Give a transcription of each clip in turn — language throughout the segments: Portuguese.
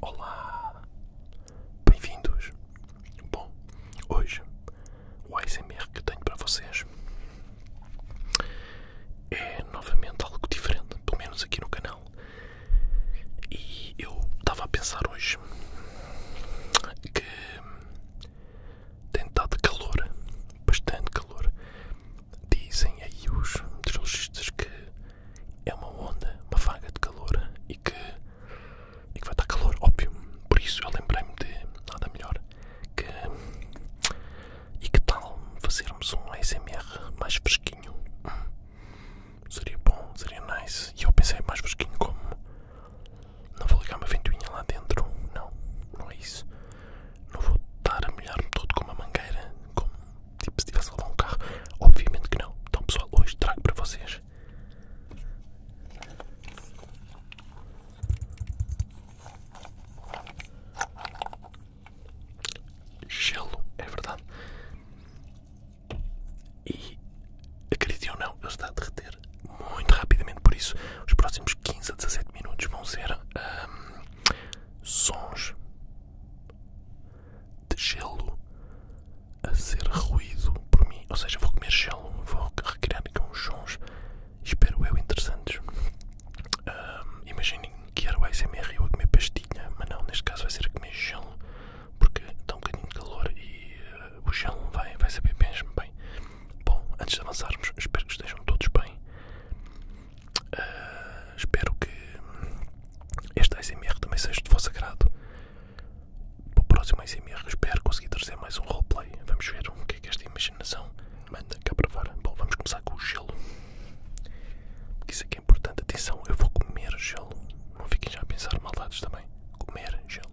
Olá, bem-vindos. Bom, hoje o ASMR que tenho para vocês é novamente algo diferente, pelo menos aqui no canal. E eu estava a pensar hoje que tem estado calor, bastante calor, Dizem aí os meteorologistas que é uma onda, uma vaga de calor e que, e que vai dar calor, óbvio. Por isso eu lembrei-me de nada melhor que. E que tal fazermos um ASMR mais fresquinho? seria bom, seria nice. E eu pensei mais fresquinho como. Não vou ligar uma ventoinha lá dentro. Não, não é isso não vou estar a molhar-me todo com uma mangueira, como tipo se tivesse a levar um carro. Obviamente que não. Então, pessoal, hoje trago para vocês gelo, é verdade. E acreditem ou não, ele está a derreter muito rapidamente. Por isso, os próximos 15 a 17 minutos vão ser hum, sons de gelo a ser ruído por mim. Ou seja, vou comer gelo, vou recriar aqui com sons, espero eu, interessantes. Imaginem que era o ASMR eu a comer pastinha mas não, neste caso vai ser a comer gelo, porque está um bocadinho de calor e eh, o gelo vai, vai saber mesmo bem. Bom, antes de avançarmos, espero que estejam todos bem. Ah, espero que este ASMR também seja de vosso agrado. Para o próximo ASMR, espero conseguir trazer mais um roleplay. Vamos ver o que é que esta imaginação manda cá para fora. Bom, vamos começar com o gelo. Porque isso aqui é importante. Atenção, eu vou comer gelo. Não fiquem já a pensar maldades também. Comer gelo.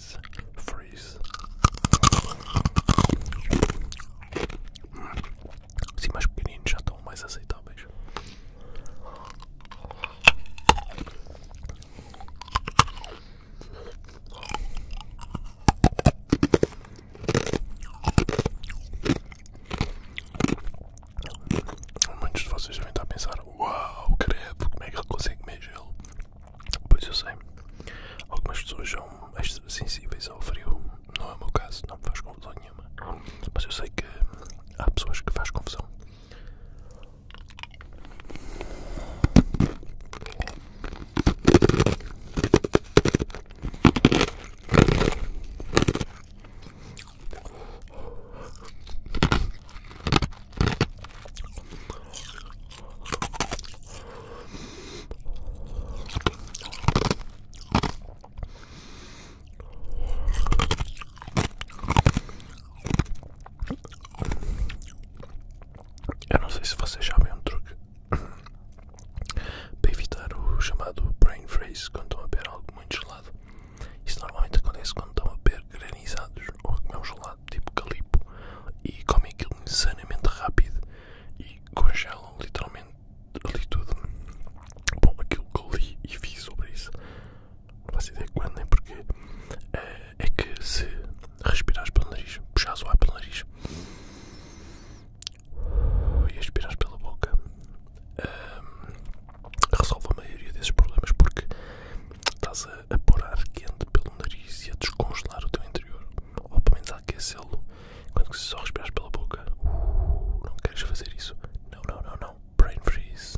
freeze, freeze. Assim mais pequeninos já estão mais aceitáveis. Muitos de vocês devem estar a pensar Uau, credo, como é que ele consegue comer gelo? Pois eu sei, algumas pessoas são extra sensíveis ao frio, não é o meu caso, não me faz confusão nenhuma, mas eu sei que há pessoas que fazem confusão. Eu não sei se vocês sabem um truque para evitar o chamado brain freeze quando estão a beber algo muito gelado. Isso normalmente acontece quando estão a beber granizados ou a comer um gelado tipo calipo e comem aquilo insanamente rápido e congelam literalmente ali tudo. Bom, aquilo que eu li e fiz sobre isso, não faço de quando nem porque, eh, é, que se respirares pelo nariz, puxares o ar pelo nariz e expirares pela boca, ehm, resolve a maioria desses problemas porque estás a, a pôr ar quente pelo pelo nariz e a descongelar o teu interior, ou pelo menos a aquecê-lo, enquanto que se só respiras pela boca. Uh, não queres fazer isso? Não, não, não, não. Brain freeze.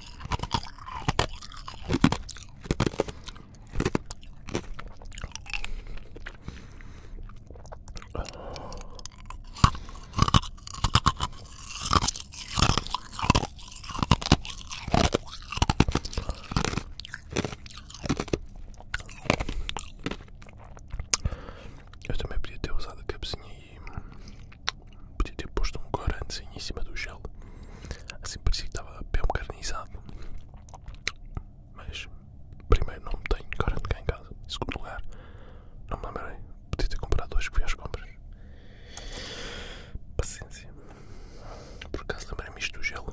Eu também podia ter usado a cabecinha e Podia ter posto um corante em cima do gel, assim parecia que estava bem carnizado. Mas, primeiro, não tenho corante cá em casa. Em segundo lugar, não me lembrei. Podia ter comprado hoje que fui às compras. Paciência. Por acaso lembrei-me isto do gel.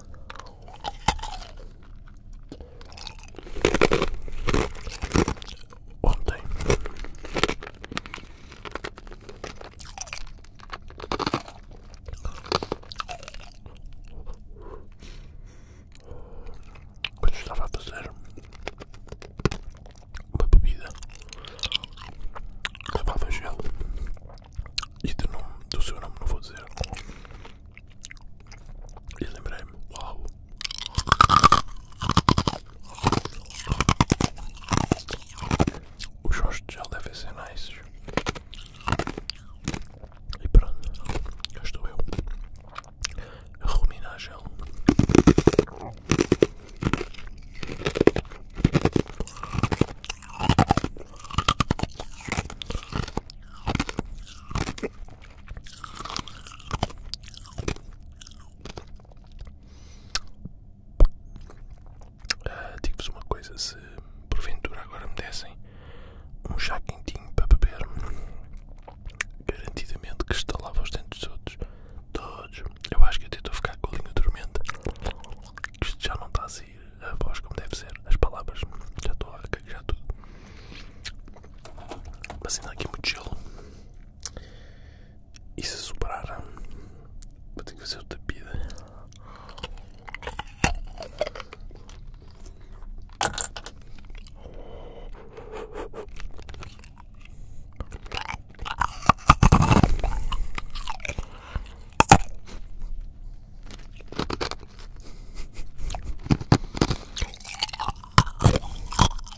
Ontem quando estava a fazer uma bebida, levava gel e do, nome, do seu nome não vou dizer. E lembrei-me, uau! Os rostos já devem ser nice. E pronto, cá estou eu a ruminar gel. Uh, Digo-vos uma coisa: se porventura agora me dessem um chá quentinho para beber, garantidamente que estalava os dentes todos. Todos. Eu acho que até estou a ficar com a língua dormente. Isto já não está a sair a voz como deve ser, as palavras. Já estou a cagar tudo. Passando aqui muito gelo. E se é superar vou ter que fazer outra pida.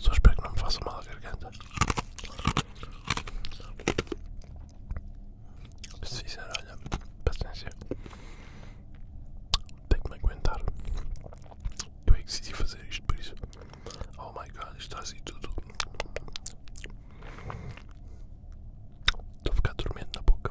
Só espero que não me faça mal a garganta. Sincero, olha, paciência. Tenho que me aguentar. Eu é que decidi fazer isto por isso. Oh my god, está assim tudo. Estou a ficar dormente na boca.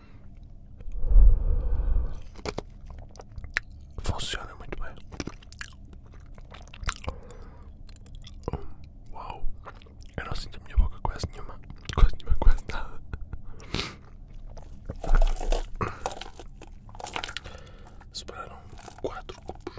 Funciona muito bem. Hum, uau, eu não sinto a minha boca quase nenhuma, quase nenhuma, quase nada. Sobraram quatro cubos.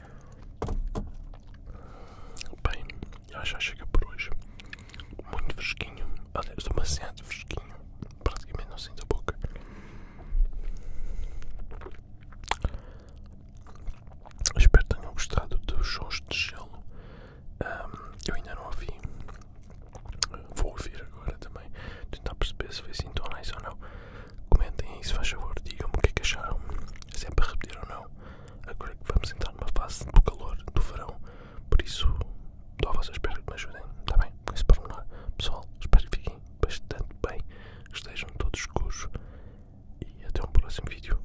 Bem, já chega por hoje. Muito fresquinho. Olha, estou bastante fresquinho. Praticamente não sinto a boca. Espero que tenham gostado dos sons de gelo. eu ainda não ouvi. Vou ouvir agora também. Tentar perceber se foi sintonais ou não. Comentem aí se faz favor. Digam-me o que é acharam. sempre é a repetir ou não. Agora que vamos entrar numa fase do calor, do verão, por isso estou à vossa espera que me ajudem, está bem? Com esse pormenor. Pessoal, espero que fiquem bastante bem, que estejam todos escuros e até um próximo vídeo.